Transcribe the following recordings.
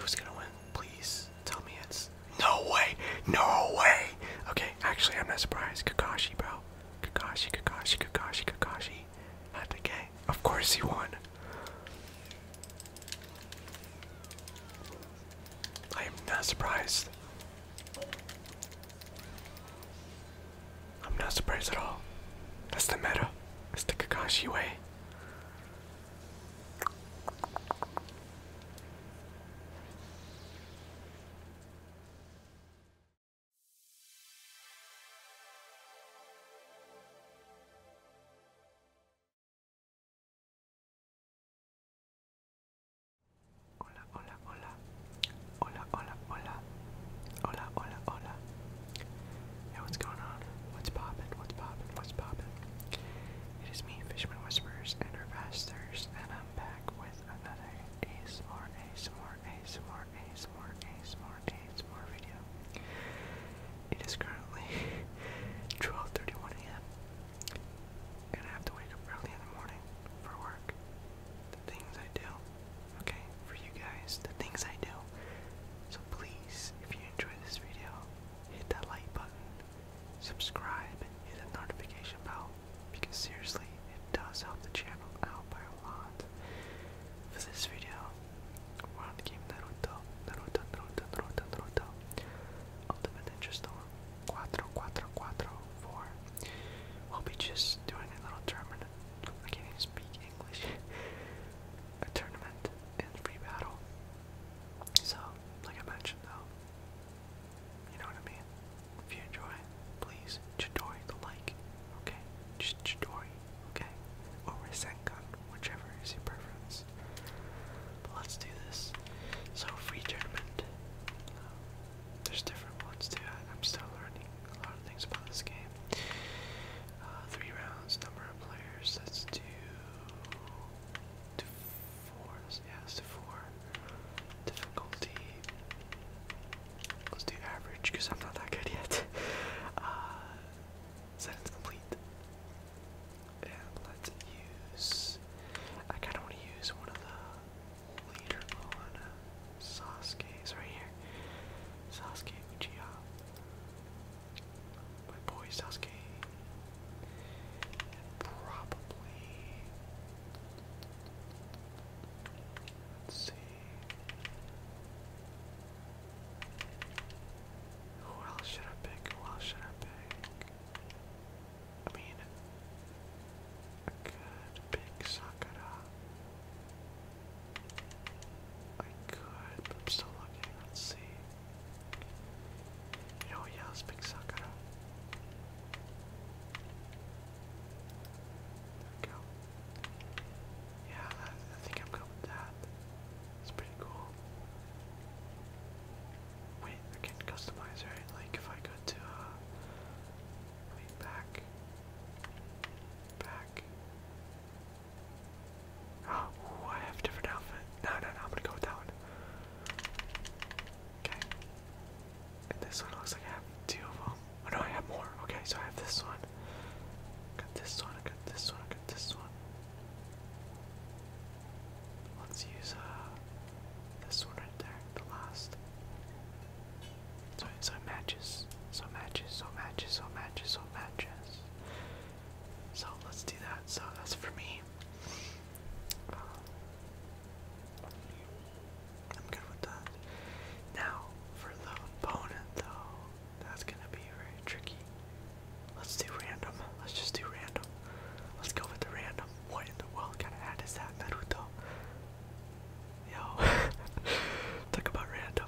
Who's gonna win? Please tell me it's. No way! No way! Okay, actually, I'm not surprised. Kakashi, bro. Kakashi, Kakashi, Kakashi, Kakashi. Not the Of course he won. I am not surprised. I'm not surprised at all. That's the matter. That's the Kakashi way. Hola, hola, hola. Hola, hola, hola. Hola, hola, hola. Hey, what's going on? What's poppin'? What's poppin'? What's poppin'? It is me, Fishman Whispers, and her Thirst, and I'm back with another ASMR, ASMR, ASMR, ASMR, ASMR, ASMR video. It is currently 12.31 a.m. And I have to wake up early in the morning for work the things I do, okay, for you guys, the things I do. So please, if you enjoy this video, hit that like button, subscribe, and hit the notification bell, because seriously, it does help the channel out by a lot. For this video, we we'll be just doing a little tournament. I can't even speak English. a tournament and free battle. So, like I mentioned though, you know what I mean? If you enjoy, please Chidori the like, okay? Just Chidori, okay? Or Rasengan, whichever is your preference. But let's do this. So, free tournament. Um, there's different ones too. I'm still learning a lot of things about this game. Uh, three rounds, number of players. Let's do to four. Yeah, do four. Difficulty. Let's do average because I'm not that good yet. uh, sentence complete. And let's use. I kind of want to use one of the later on. Uh, right here. Sasuke Uchiha. My boy Sasuke. And probably. Let's see. Who else should I pick? Who else should I pick? I mean, a good big Sakura. I could, but I'm still looking. Let's see. You yeah, let Sakura. There we go. Yeah, I, think I'm going with that. It's pretty cool. Wait, I can customize, right? Like, if I go to, uh, back. Back. Oh, I have a different outfit. No, no, no, I'm gonna go with that one. Okay. And this one looks like I have two of them. Oh no, I have more. Okay, so I have this one. I got this one, I got this one, I got this one. Let's use uh this one right there, the last. So so matches. So matches. So matches. So matches. So matches. So let's do that. So that's for me. Uh, I'm good with that. Now for the opponent though, that's gonna be very tricky. Let's do random. Let's just do random. Let's go with the random. What in the world kind of ad is that, Naruto? Yo, talk about random.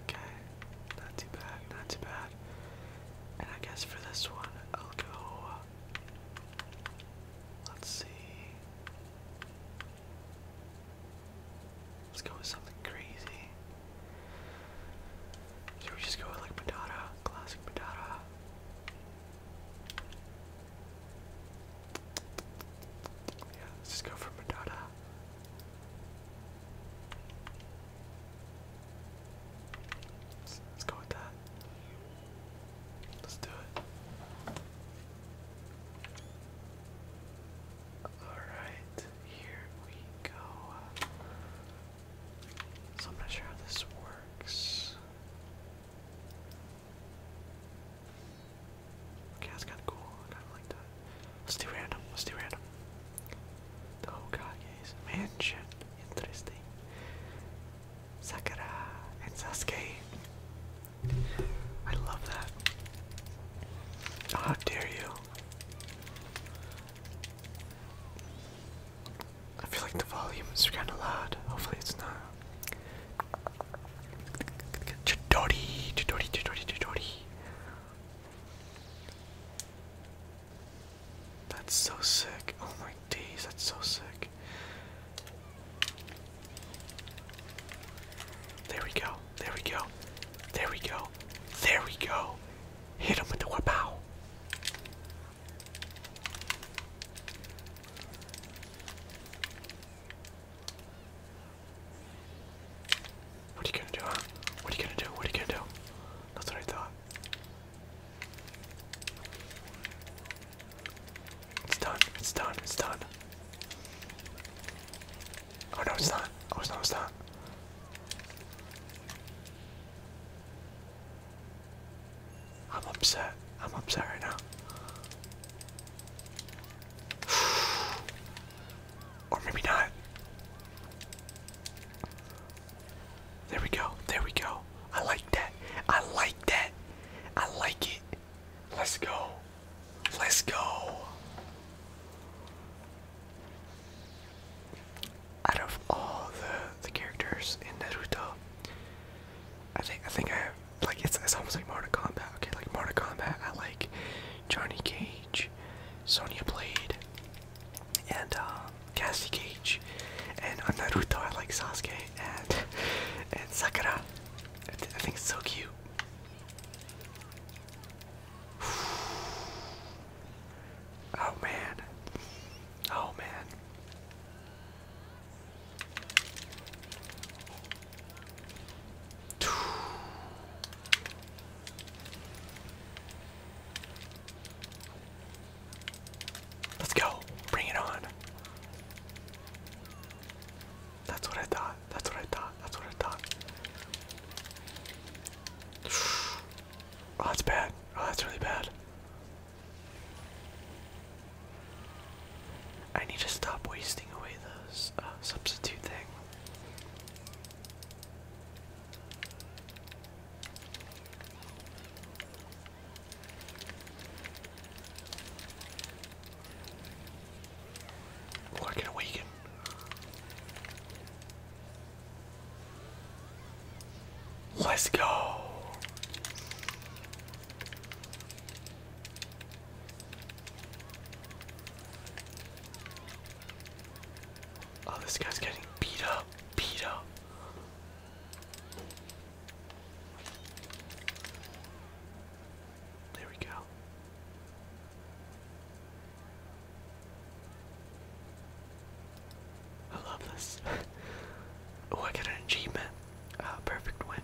Okay, not too bad, not too bad. And I guess for this one, I'll go. Let's see. Let's go with something crazy. Should we just go with like Madara? Classic Madara. Yeah, let's just go for Madonna. let's go with that. Let's do it. Alright, here we go. So I'm not sure how this works. that's kinda cool. kinda like that. Let's do random, let's do random. The Hokage's mansion. Interesting. Sakura and Sasuke. I love that. how dare you? I feel like the volume is kind of loud. Hopefully, it's not. Chidori, Chidori, Chidori, Chidori. That's so sick. Oh my days, that's so sick. There we go. There we go. There we go. There we go. Hit him with the whip what are you gonna do, What are you gonna do? What are you gonna do? That's what I thought. It's done. It's done. It's done. Oh no, it's not. Oh, it's It's not. I'm upset. I'm upset right now. or maybe not. There we go. There we go. I like that. I like that. I like it. Let's go. Let's go out of all the the characters in Naruto, I think I think I have, like it's it's almost like Mortal Kombat. Okay, like Mortal Kombat, I like Johnny Cage, Sonya Blade, and um, Cassie Cage, and on Naruto I like Sasuke and and Sakura. I, I think it's so cute. Oh man, Oh man. Let's go. Bring it on. That's what I thought. That's what I thought. That's what I thought. Oh, that's bad. Oh, that's really bad. I need to stop wasting away those uh, substitute thing. Working awaken. Let's go. Oh, this guy's getting beat up, beat up. There we go. I love this. oh, I got an achievement. Uh, perfect win.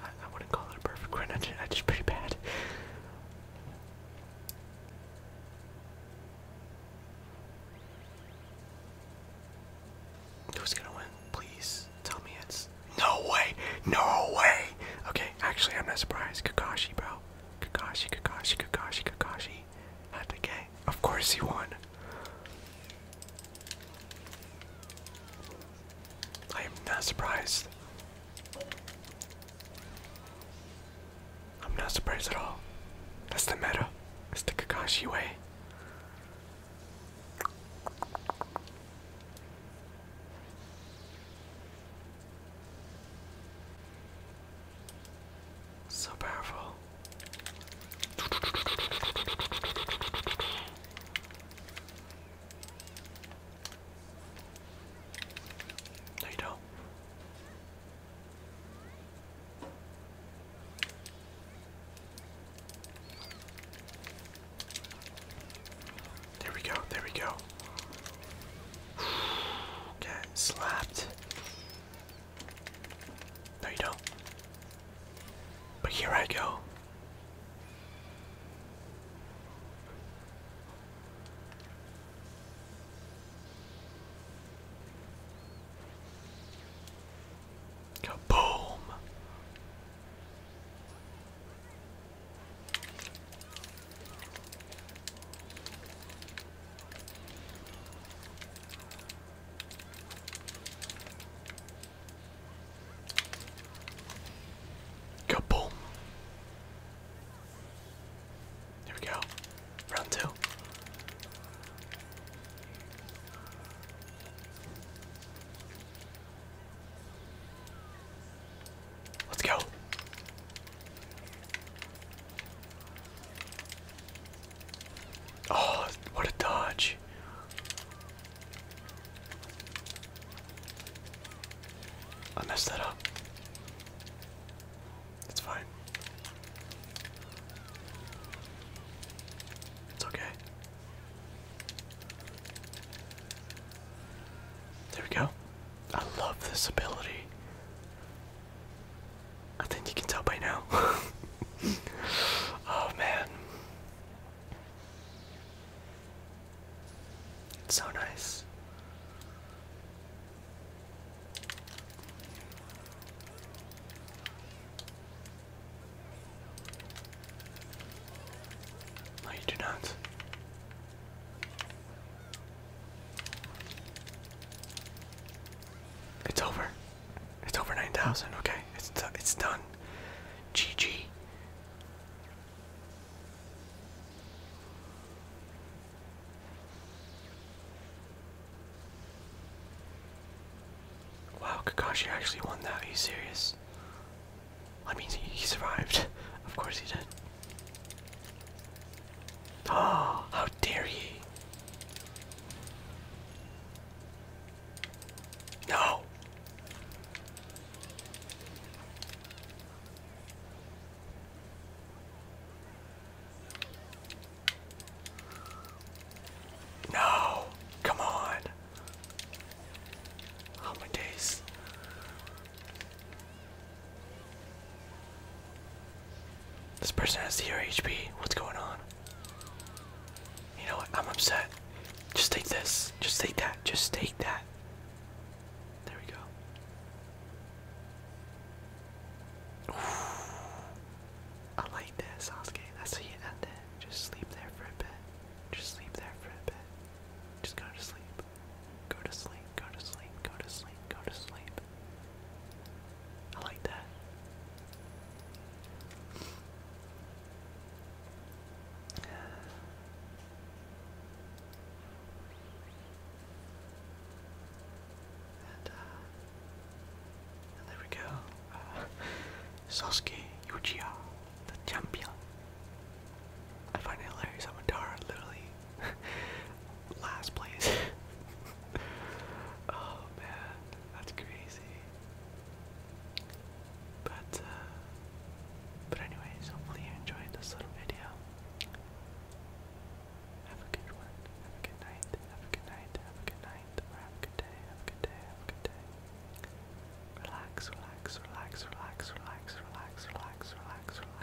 I, wouldn't call it a perfect win, just, I just pretty bad. Who's gonna win? Please tell me it's. No way! No way! Okay, actually, I'm not surprised. Kakashi, bro. Kakashi, Kakashi, Kakashi, Kakashi. Of course he won. I am not surprised. I'm not surprised at all. That's the matter. That's the Kakashi way. So powerful. No, you do There we go, there we go. okay slapped. No, you don't. But here I go. Kaboom! Kaboom. There we go. Round two. Let's go. Oh, what a dodge. I messed that up. It's fine. It's okay. There we go. I love this ability. I think you can tell by now. oh man. so nice. No, you do not. It's over. It's over 9,000. Okay, it's it's done. GG. Wow, Kakashi actually won that. Are you serious? That means he survived. of course he did. Oh, how dare he! No! No! Come on! Oh my days. This person has zero HP. What's going on? You know what? I'm upset. Just take this. Just take that. Just take that. There we go. I like that, Sasuke. That's how you end it. Just sleep there for a bit. Just sleep there for a bit. Just go to sleep. Go to sleep, go to sleep, go to sleep, go to sleep. I like that. And, uh, there we go. Uh, Sasuke Uchiha, the champion. I find it hilarious how Madara literally Last place. oh man, that's crazy. But uh, but anyways, hopefully you enjoyed this little video. Have a good one. Have a good night. Have a good night. Have a good night. Or have a good day. Have a good day. Have a good day. Relax. Relax. Relax. Relax. Relax. Relax. Relax. Relax